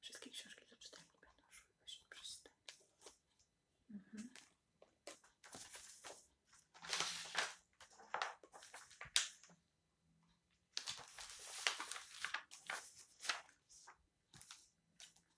Wszystkie książki do czytania będą szły właśnie przez te. Mhm.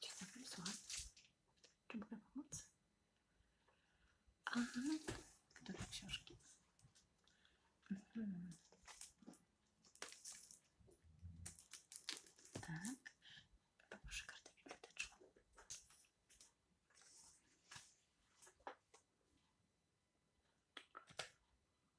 Dzień dobry, słucham. Czy mogę pomóc? A, kto te książki? Mhm. Tak. Poproszę kartę biblioteczną.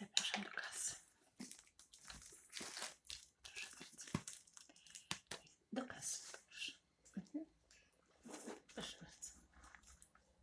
Zapraszam do kasy. Proszę bardzo. Do kasy. Proszę, mhm.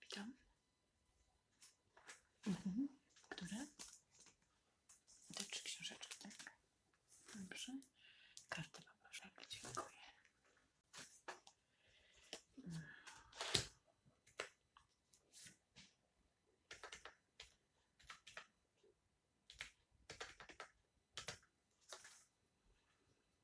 Witam. Mhm. Które? Te trzy książeczki, tak? Dobrze. Kartę poproszę. Tak, dziękuję.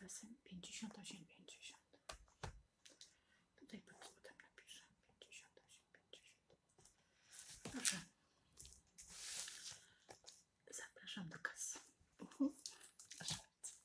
razem 58, 50. Tutaj pod spodem napiszę 58, 50. Dobrze. Zapraszam do kasy. Mhm.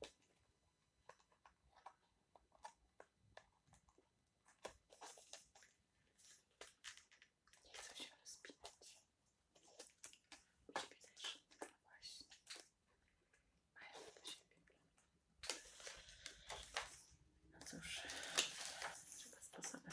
Nie chcę się rozpinać. Ciebie też. No właśnie. A ja do siebie. No cóż, trzeba sposobem.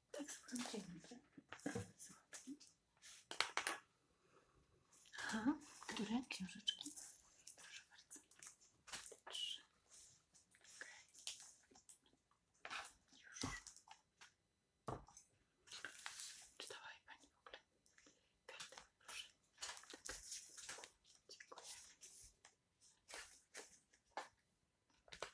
Piękne. Aha, które książeczki? Proszę bardzo. Trzy. Okay. Już. Czytała je pani w ogóle? proszę. Tak. Dziękuję.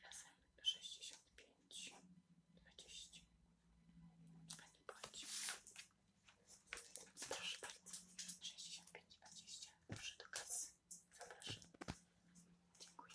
Razem sześćdziesiąt pięć dwadzieścia. Pani płaci. Proszę bardzo. 65,20. Proszę do kasy. Zapraszam. Dziękuję.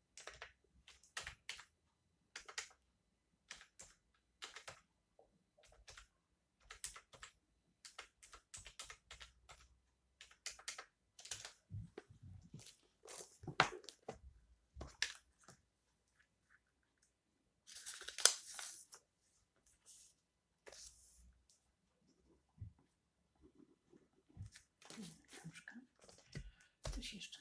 Coś jeszcze?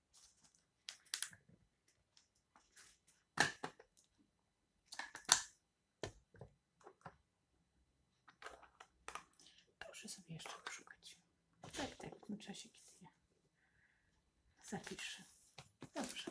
Proszę sobie jeszcze poszukać. Tak, tak, w czasie, kiedy zapiszę. Dobrze.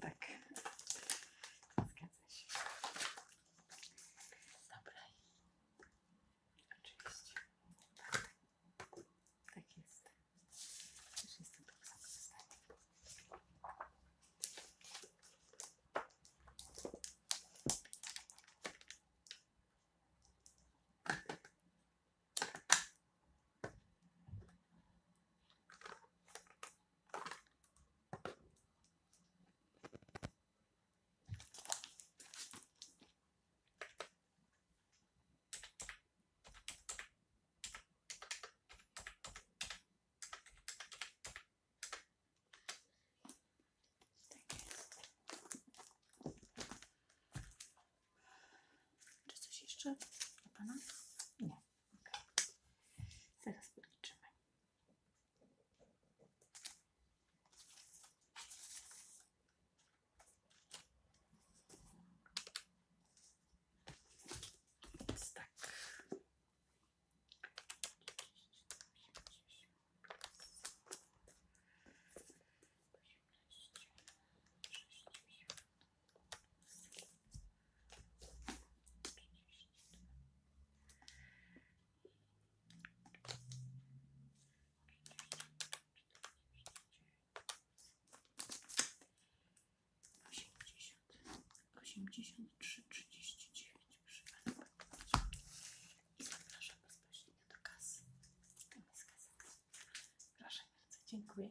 Tak. Zgadza się. Dobra. Oczywiście. Tak. tak jest. Już jestem tak czy coś jeszcze u Pana? Nie. Zaraz podliczymy. Więc tak osiemdziesiąt trzy trzydzieści dziewięć i zapraszam bezpośrednio do kasy. Tam jest kasa. dziękuję.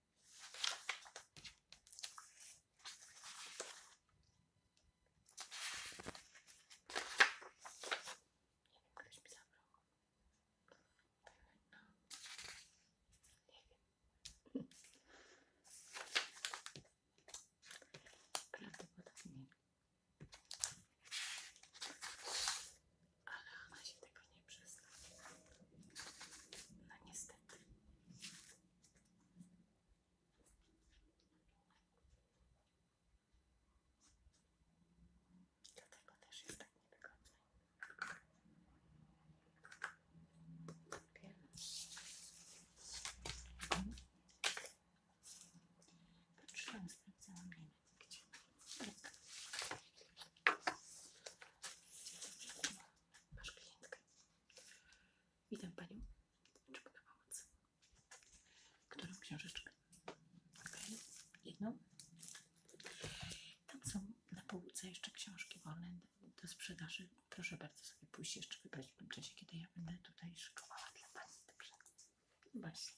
ktoś mi zabrał. No. Nie wiem. Prawdopodobnie. Ale ona się tego nie przyzna. No niestety. Dlatego też jest tak niewygodny. Wiem. Patrzyłam, sprawdzałam, nie wiem gdzie. Tak masz klientkę. Witam Panią. Czy mogę pomóc? Którą książeczkę? Okay. Jedną? Tam są na półce jeszcze książki wolne do sprzedaży. Proszę bardzo sobie pójść jeszcze wybrać w tym czasie, kiedy ja będę tutaj szykowała dla Pani. Dobrze. Właśnie.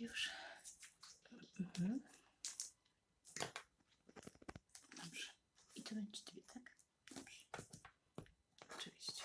Już. Mhm. Dobrze. I to będzie dwie, tak? Dobrze. Oczywiście.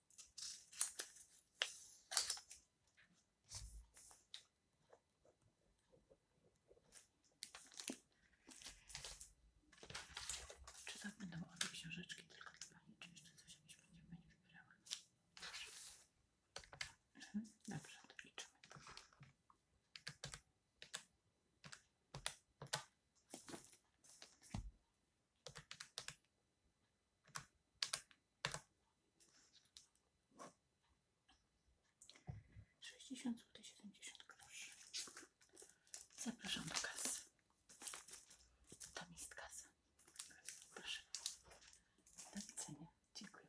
Czy tak będą obie książeczki, tylko dla Pani, czy jeszcze coś jakieś będzie Pani wybierała? Mhm. Dobrze, to liczymy. Sześćdziesiąt zł 70 groszy. Zapraszam do kasy. Tam jest kasa. Proszę. Do widzenia. Dziękuję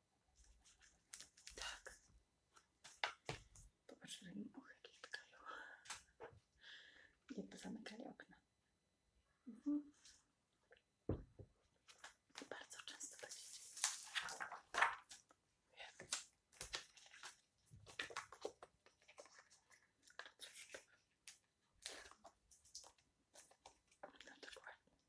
Tak. Popatrz, że im muchy zamykali okna. Mhm. Bardzo często tak No cóż. No,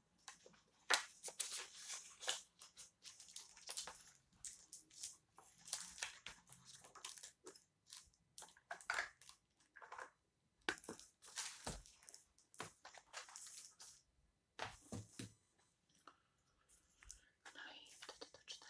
No i wtedy to czytanie będą te książki. Te wszystkie.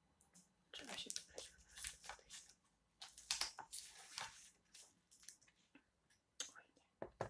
Trzeba się wybrać po prostu tutaj. Oj nie.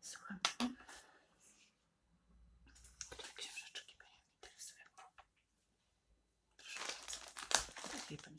Słuchajcie, które książeczki Pani interesują? Tak Proszę bardzo, lepiej Pani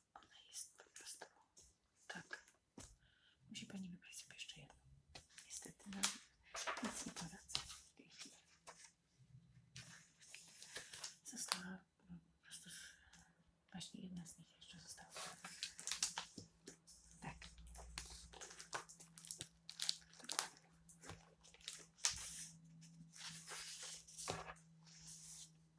Ona jest po prostu tak. Musi Pani wybrać sobie jeszcze jedną. Niestety nam no, nic nie poradzę w tej chwili. Została no, po prostu właśnie jedna z nich jeszcze została. Tak.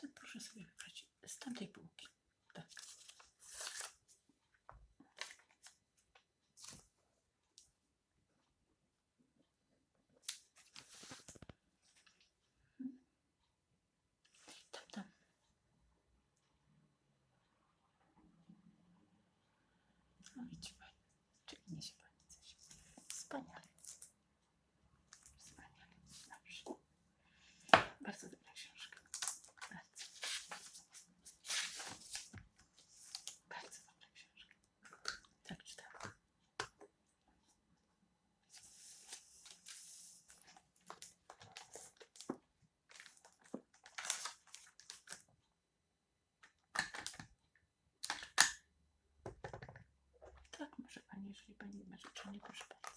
To proszę sobie wybrać z tamtej półki. Tak. Tam, tam. No widzi Pani, czy niesie Pani coś. Wspaniale. Dobrze. Bardzo dobra książka. Bardzo. Bardzo dobra książka. Tak czytałam. Tak, może Pani, jeżeli Pani ma życzenie, proszę bardzo.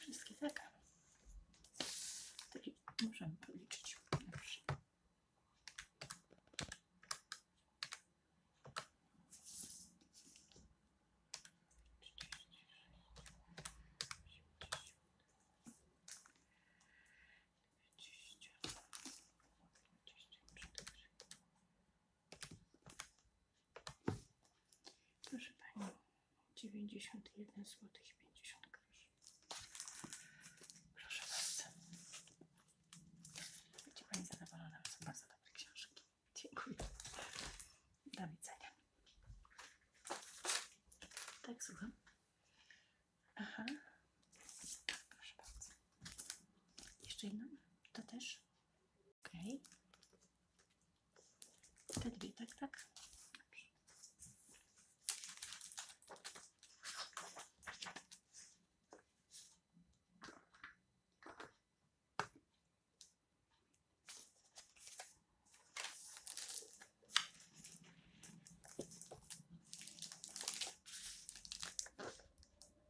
Wszystkie tak. Taki możemy policzyć. Proszę Pani, 91 zł 50 groszy. Proszę bardzo. Będzie Pani zadowolona, są bardzo dobre książki. Dziękuję. Do widzenia. Tak, słucham. Aha. Proszę bardzo. Jeszcze jedną? To też? Okay. Te dwie, tak, tak.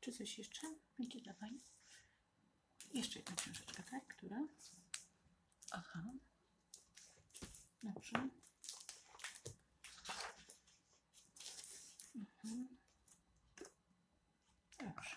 Czy coś jeszcze będzie dla Jeszcze jedna książeczka, tak? Która? Aha. Dobrze. Mhm. Dobrze.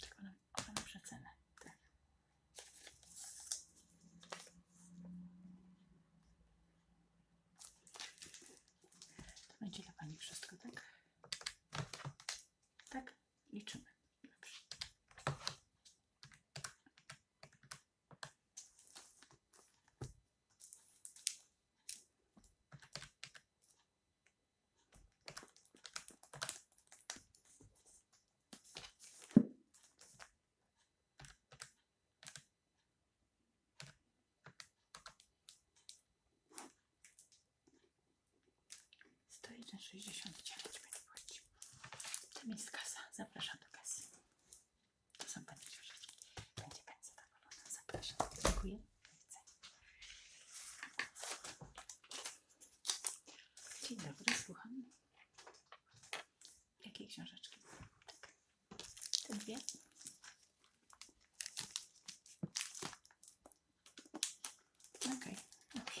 Tylko na, ona To będzie dla Pani wszystko, tak? Tak, liczymy. Dobrze. 101,69 będzie płacić. Tam jest kasa. Zapraszam do kasy. To są Pani książeczki. Będzie Pani zadowolona. Zapraszam. Dziękuję. Do widzenia. Dzień dobry, słucham. Jakiej książeczki? Tak. Te dwie? Okej, okay. dobrze.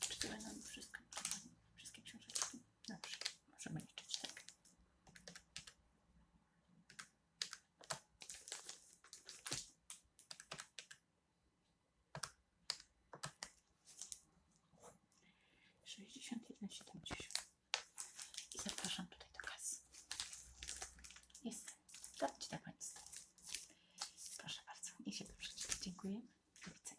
Czy to będą wszystko, wszystkie książeczki? Dobrze, możemy liczyć tak. Sześćdziesiąt jeden, siedemdziesiąt. I zapraszam tutaj do kasy. Jest. Dajcie na tak Państwu. Proszę bardzo. Niech się to przeczyta. Dziękuję. Do widzenia.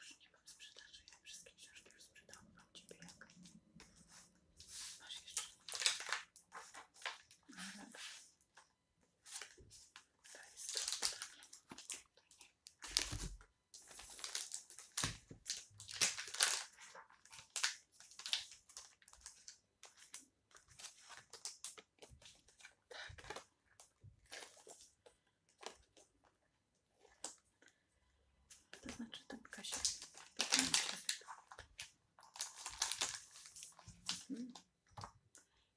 Już nie mam sprzedaży, ja wszystkie książki już sprzedałam. Mam jak? No To jest to, Tak. To znaczy ten tak, Kasia. Mhm.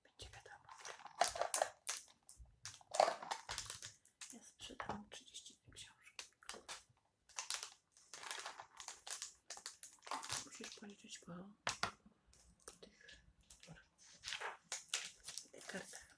Będzie wiadomo. Ja sprzedałam 30 książek. Musisz policzyć po, po tych, tych kartach.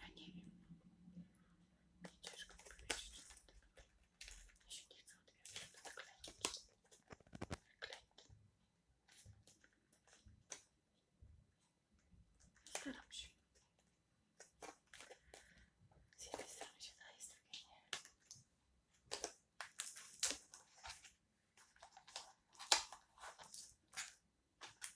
Ja nie wiem. Ciężko mi powiedzieć. Ja się nie chcę odbierać do klęki. Tak klęki. Staram się. Z jednej strony się daje, z nie.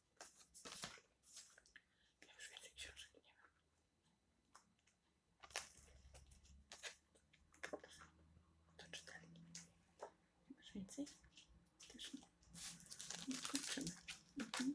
Ja już więcej książek nie mam. To czytelnik. Masz więcej? Też nie. Nie no, skończymy. Mhm.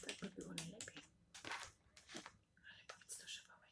Tak by było najlepiej. Ale powiedz do szybowej.